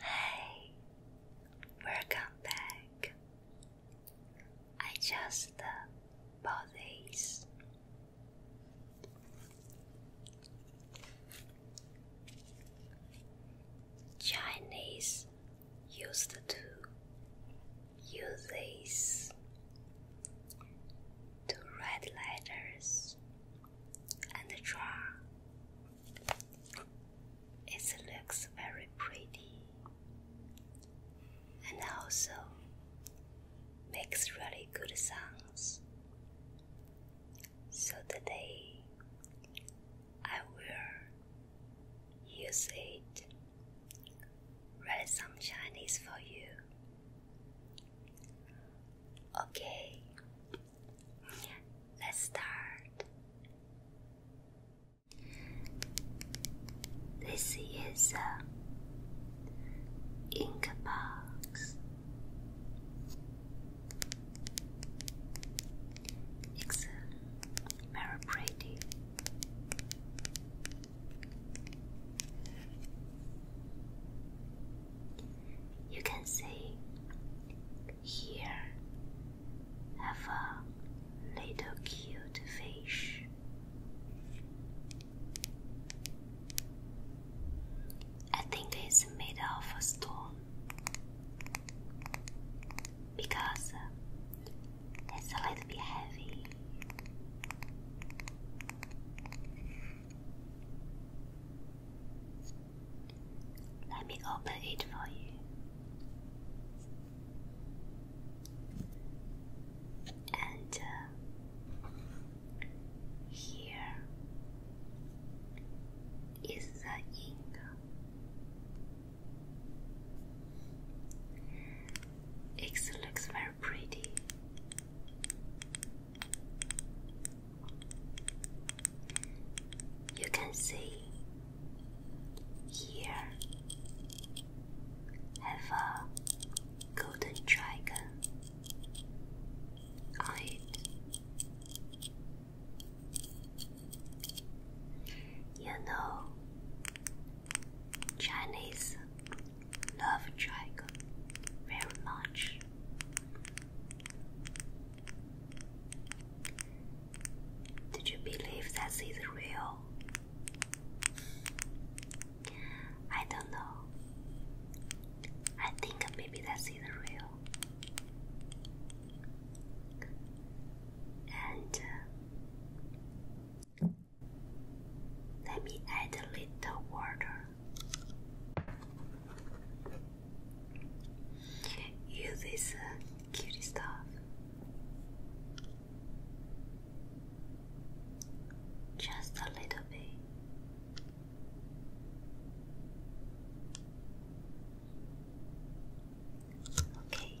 Hi, welcome back. I just uh, bought these. Chinese used to use these to write letters and draw it looks very pretty and also makes really good sounds. So today I will use it, write some Chinese for you. Okay, Let's start. This is uh, a box. It's very pretty. You can see here. Have a little cute fish. I think it's made of a stone because uh, it's a little bit heavy. Let me open it for you. And uh, here is the ink. It looks very pretty. You can see here have a golden dragon on it. You know, Chinese love dragon very much. Did you believe this is real? I don't know. I think maybe this real. And uh, let me add a little water. Use this cutie stuff. Just a little bit. Okay.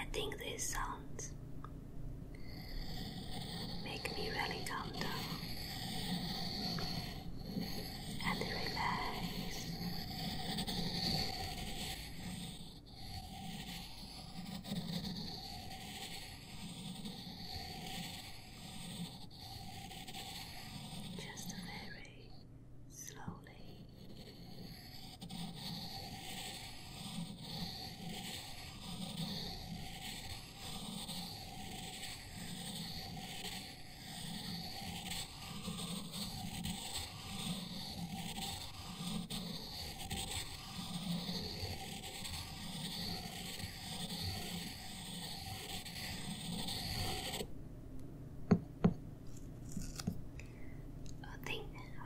I think these sounds make me really calm down and relax just very slowly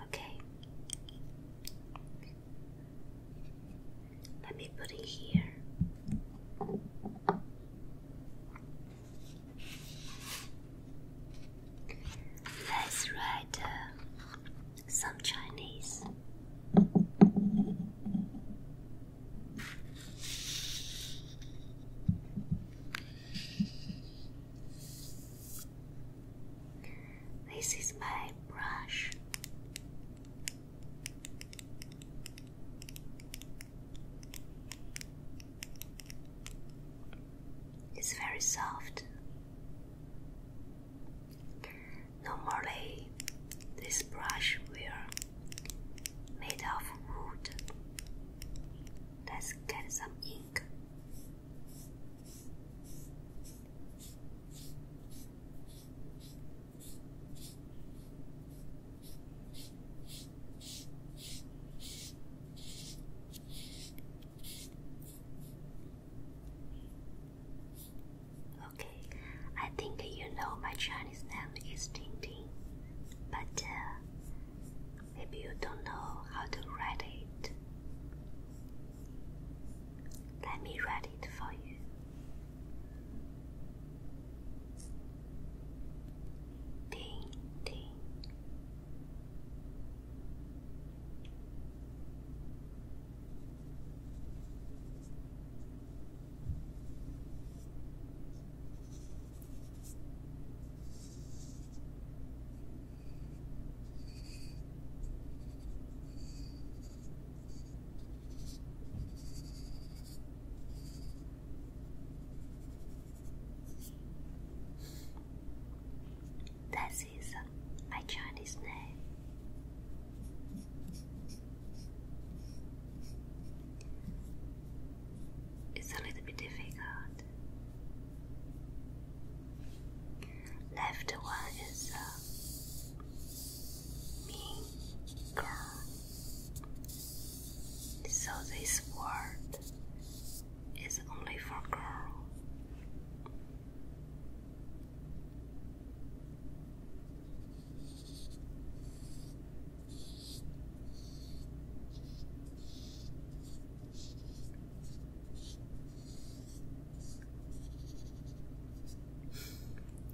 okay. Let me put it here. Let's write uh, some Chinese. This is my brush. It's very soft. Normally, this brush will made of wood. Let's get some ink. Okay, I think you know my Chinese name is Ting but uh, maybe you don't know how to write it. Let me write it for you. Ting that is my Chinese name. It's a little bit difficult. Left one is a uh, girl. So this word is only for girl.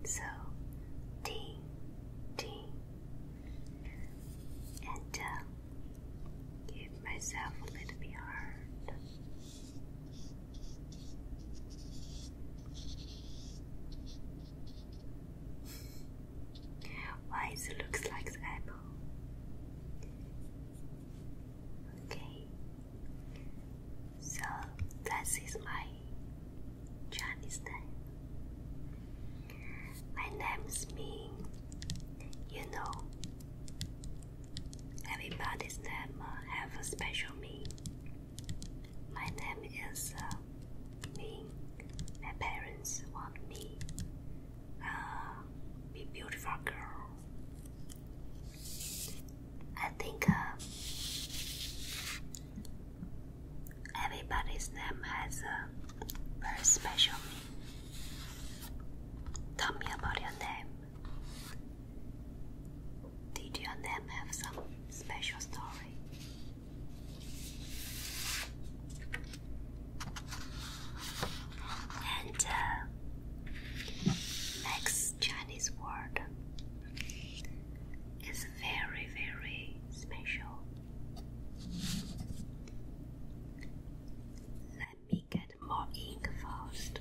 So, D, D, and uh, give myself a little bit hard. Why it looks like the apple? Okay, so that is my Chinese name. My name's Ming. You know, everybody's name have a special meaning. My name is uh, Ming. My parents want me uh, be beautiful girl. I think uh, everybody's name has a very special meaning. Tell me about your name. Did your name have some special story? And uh, next Chinese word is very, very special. Let me get more ink first.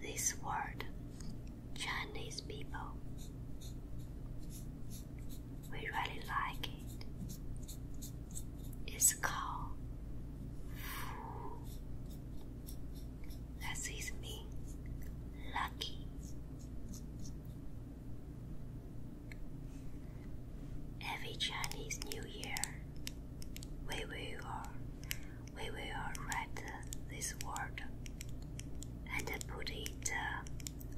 This word, Chinese people, we really like it. It's called Fu. That is me, lucky. Every Chinese New Year, we will, we will write this word and put it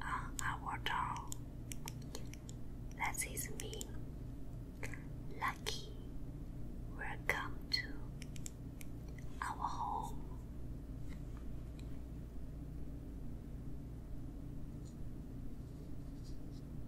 uh, on our tongue. That is mean. Lucky, welcome to our home.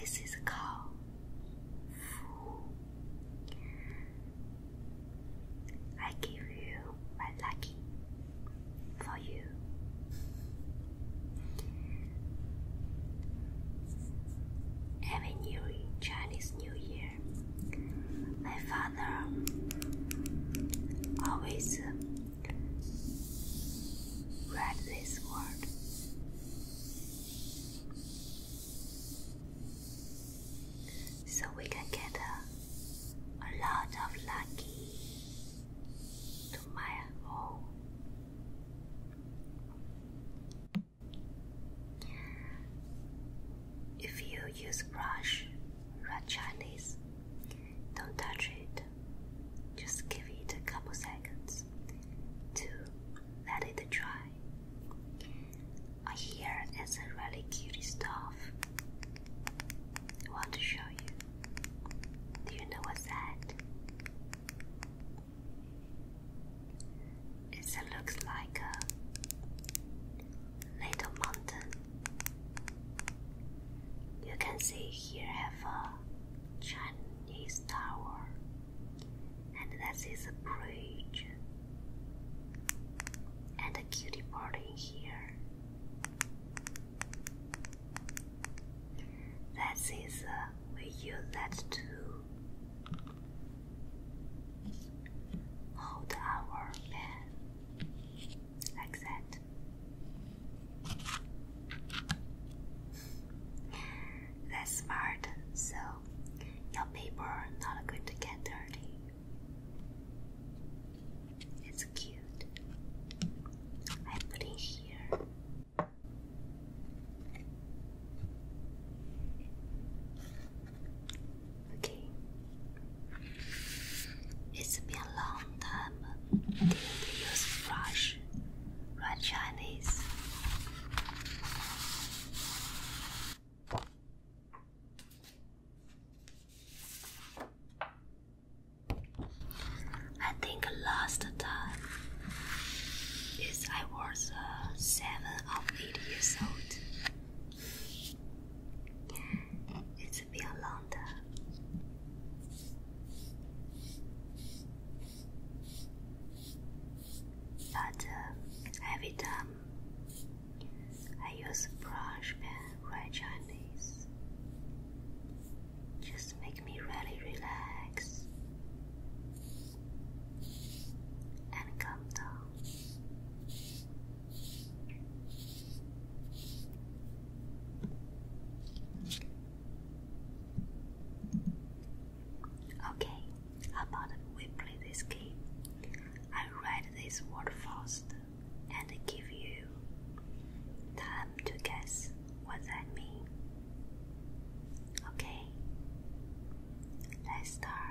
This is called Fu. I give you my lucky for you. Every new Chinese New Year, my father always Read this word. So we can get a, a lot of lucky to my home. If you use brush, read Chinese, don't touch it. Just give it a couple seconds to let it dry. I hear it's a really cute stuff. I want to show you. Do you know what's that? It looks like a little mountain. You can see here have a Chinese Tower, and this is a bridge, and a cutie part in here. That is, uh, we use that to Hold our pen like that. That's smart. So your paper not going to get dirty. It's cute. I put it here. Okay. It's long mom didn't use French, right Chinese. I think last time is I was uh, seven or eight years old. It's been long 的。But every time I use a brush pen write Chinese, just make me really relax and calm down. Okay, how about we play this game? I read this word first and give you time to guess what that means. Okay, let's start.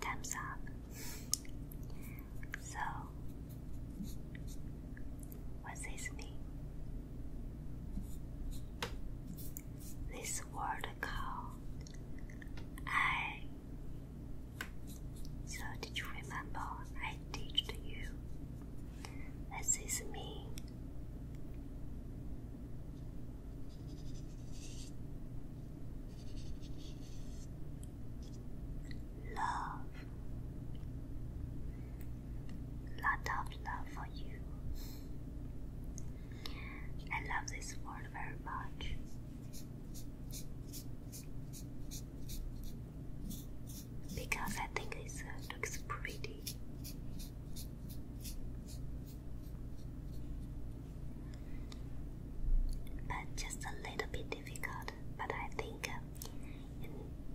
Time's up. So, what's his name? This word called I. So, did you remember I teached you? This is me. Love. Lot of love for you. I love this word very much. Because I think it uh, looks pretty but just a little bit difficult. But I think uh,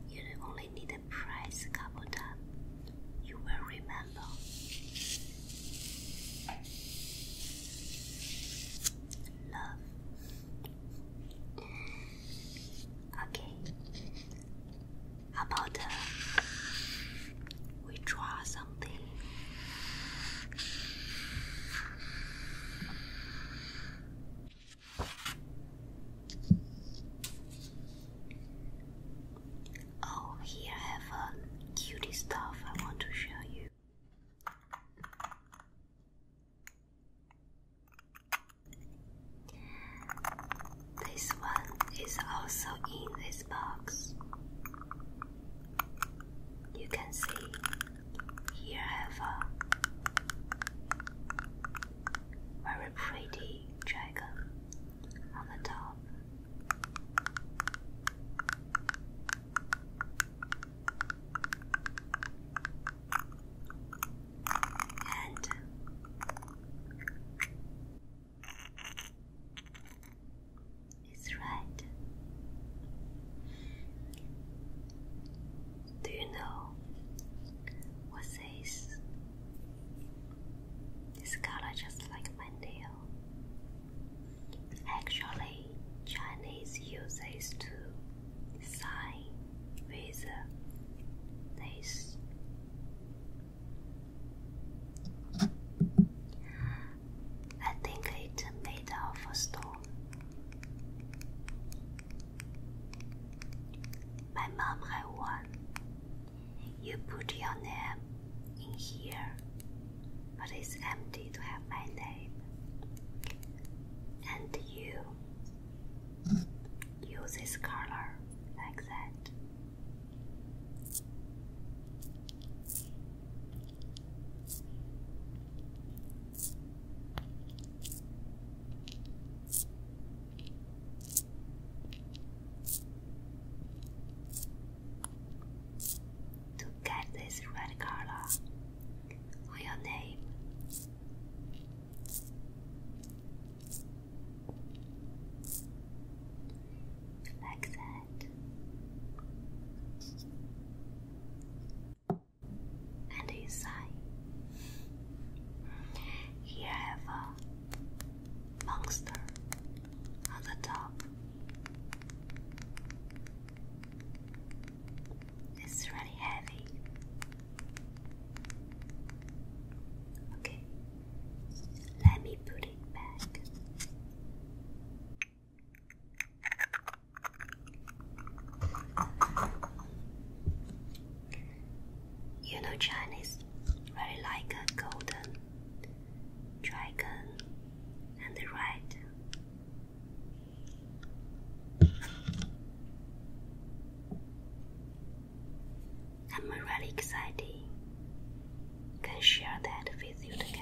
you only need a price couple time. You will remember. Love. Okay. about uh, we draw something. Oh, here have a cutie stuff I want to show you. This one is also in this box. You can see here I have a very pretty dragon on the top. And it's right. Do you know what says this color just like my nail? Actually, Chinese uses to sign with this I think it's made of stone. My mom had one. You put your name in here, but it's empty to have my name. And you use this color like that. To get this red color on your name like that. And you Here I have a monster on the top. It's really heavy. Okay, let me put it back. You know Chinese really like a golden dragon and the red. am really exciting can share that with you together.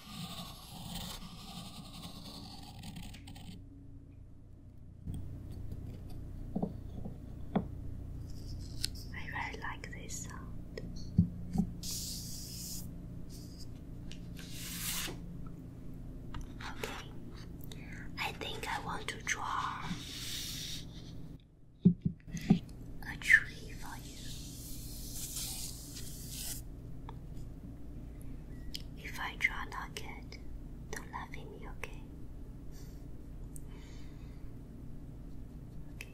I really like this sound. Okay, I think I want to draw a tree for you. If I draw not good, don't laugh at me, okay? Okay.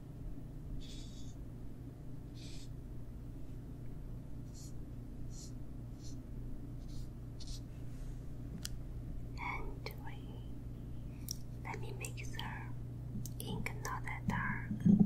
And we let me make the ink not that dark.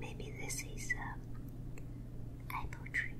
Maybe this is a uh, apple tree.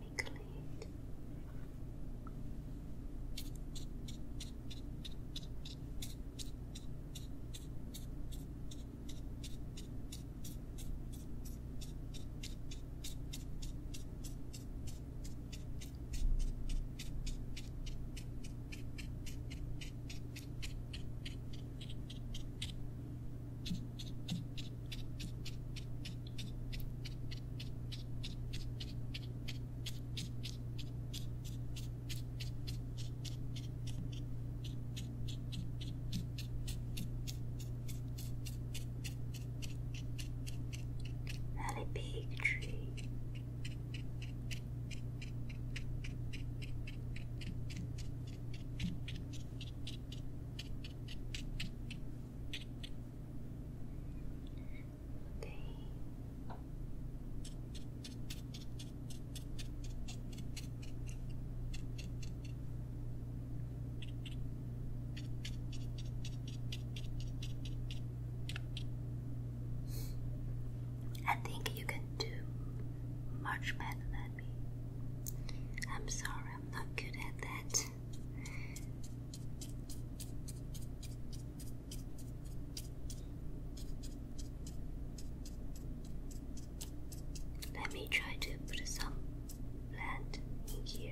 let me clean it. Very big tree. Okay. I think you can do much better than me. I'm sorry, I'm not good at that. Let me try to put some plant in here.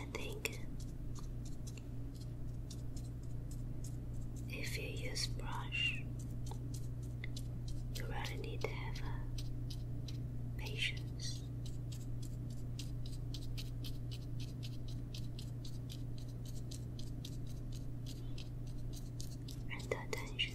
I think if you use brush, you really need to have uh, patience. And attention.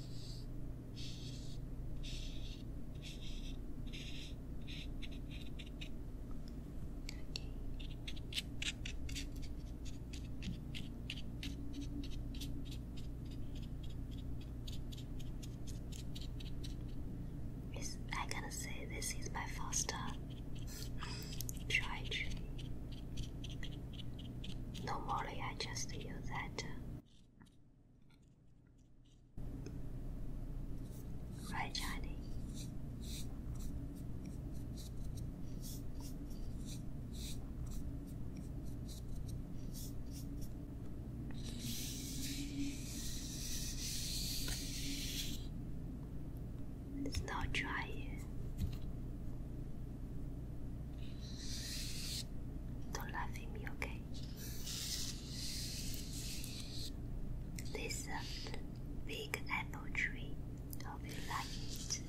It's, I gotta say, this is my first time Normally, I just use that uh, right Chinese. It's not dry. Don't laugh at me, okay? This uh, big apple tree. Hope you like it.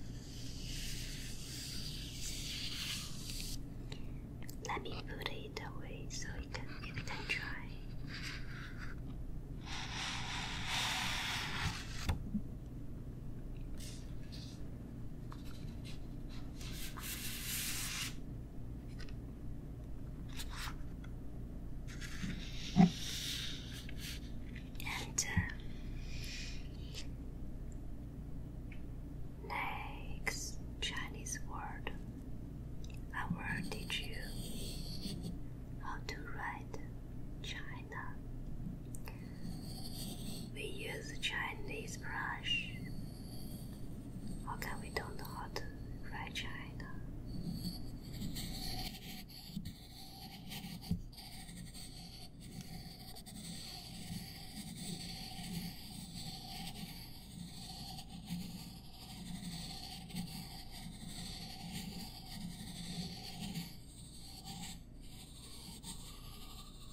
Let me put it away so it can it can dry. And uh, next Chinese word, How did you how to write Chinese? We use Chinese brush. How come we don't know how to write China?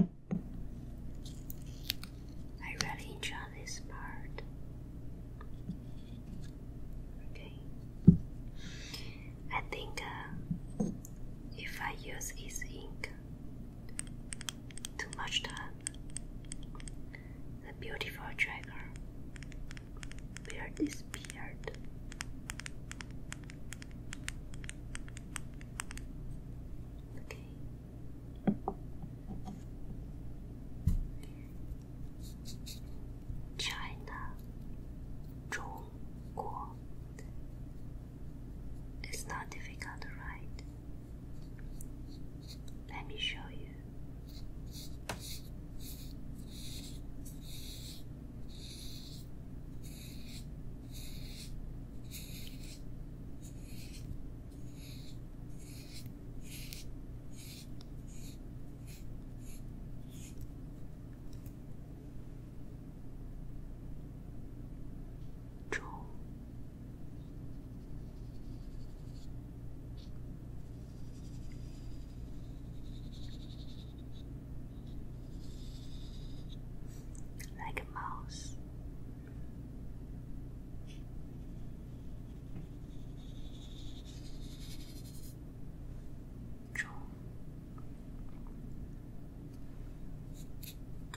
I really enjoy this part. Okay. I think uh, if I use this ink too much the beautiful dragon will disappear. Okay. China, 中国. It's not difficult to write. Let me show you. Jaw. Like your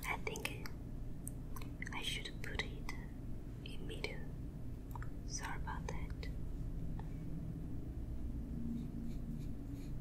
I think I should put it in middle. Sorry about that.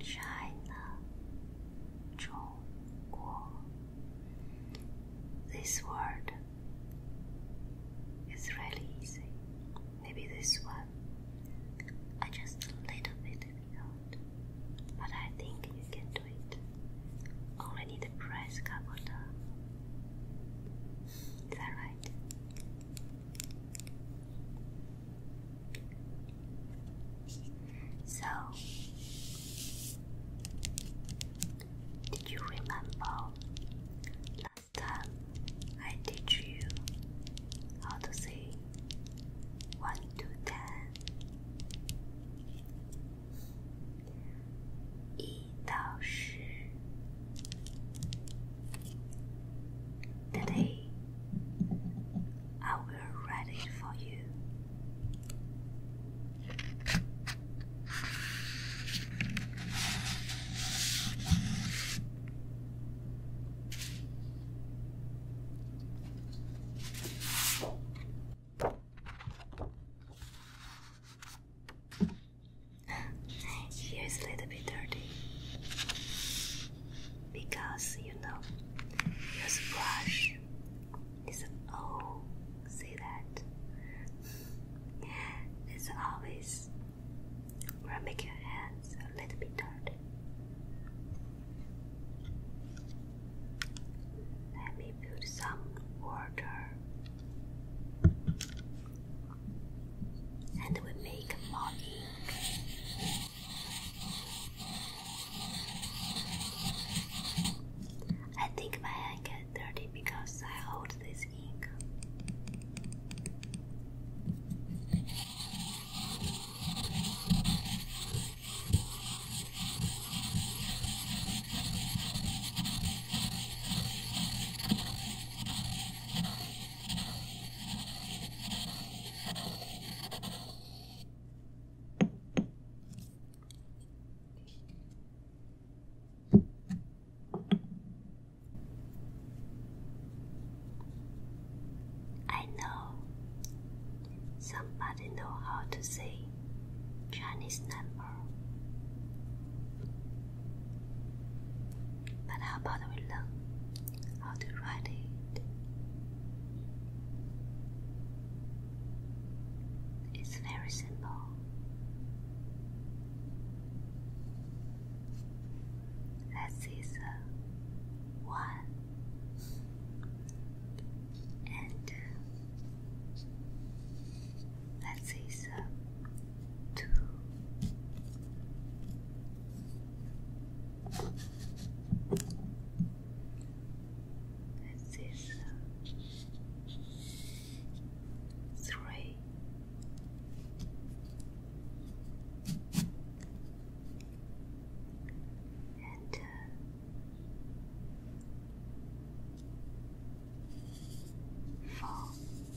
China, Zhongguo. This word is really easy. Maybe this one I just a little bit difficult, but I think you can do it. Only need press couple Is that right? So, did you remember last time I teach you how to say one to ten? E 到十 Today, I will read it for you. Here is a little bit dirty because you know your brush is an oh, old. See that? It's always gonna make your hands a little bit dirty. Let me put some water and we make money. I think my hand get dirty because I hold this ink. I know somebody know how to say Chinese number. But how about we learn how to write it? It's very simple. This is a one and uh, this is a two, this three. And uh, four. Five.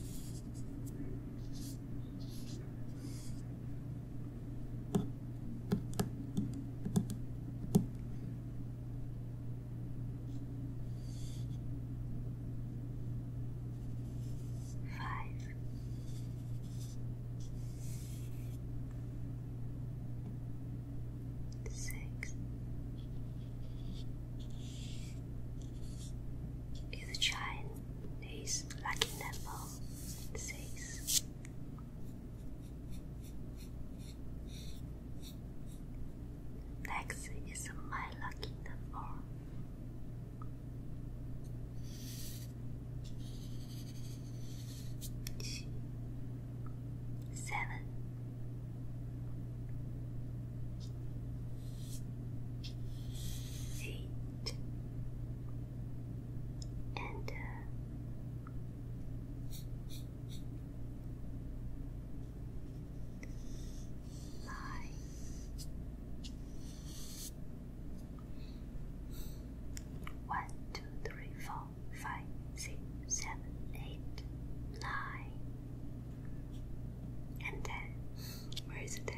Six, is the child is lucky number six, next is my lucky number. Seven. Eight and uh, one, two, three, four, five, six, seven, eight, nine. And then, where is it then?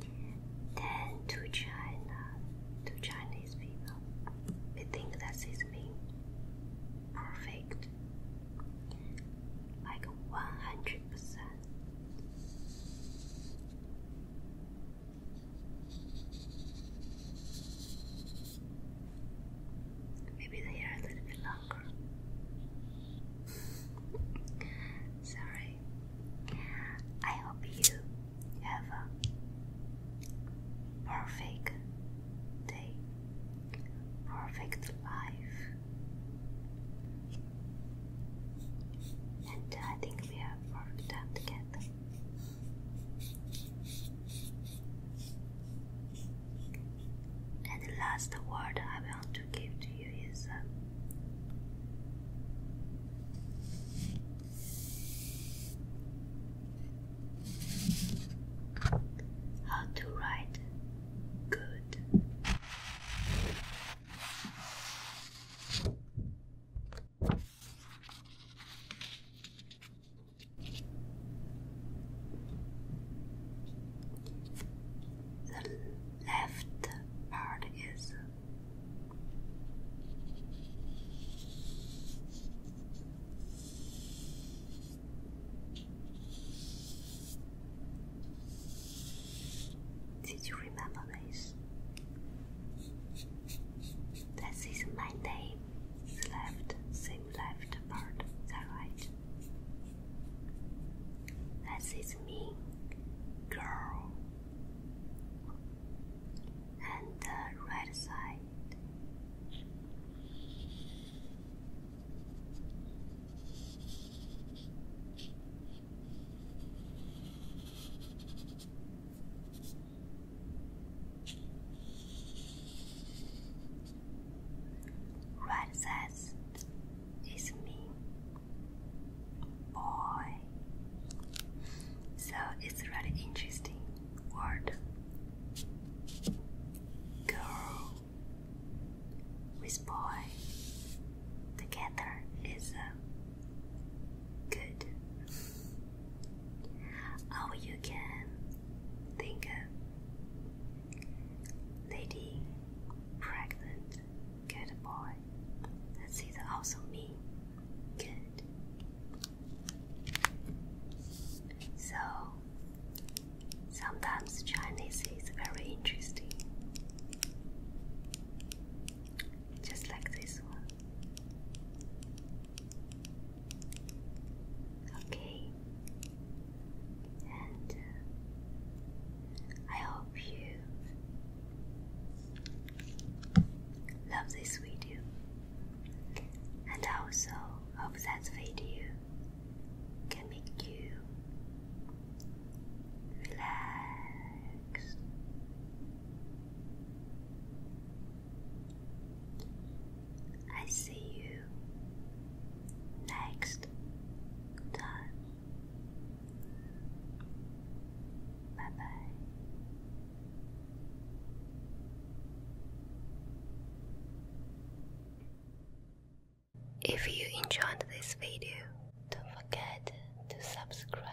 Then to China, to Chinese people, we think that is being perfect, like one hundred percent. Maybe they are a little bit longer. Sorry, I hope you have a perfect day, perfect life, and I think we have perfect time together. And the last word I want to how to write good. The left part is did you remember this? This is my name. left, same left part, the right. This me, girl and the right side. Right side is mean boy. So it's a really interesting word. Girl with boy together is uh, good. Or oh, you can think of lady pregnant Good boy. This also me. Good. So, sometimes Chinese is very interesting. Just like this one. Okay. And uh, I hope you Love this video and also hope that video can make you relax. I see you next time. Bye bye. If you enjoyed this video, don't forget to subscribe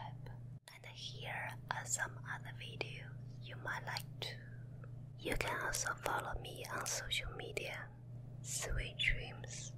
and here are some other videos you might like too. You can also follow me on social media. Sweet dreams.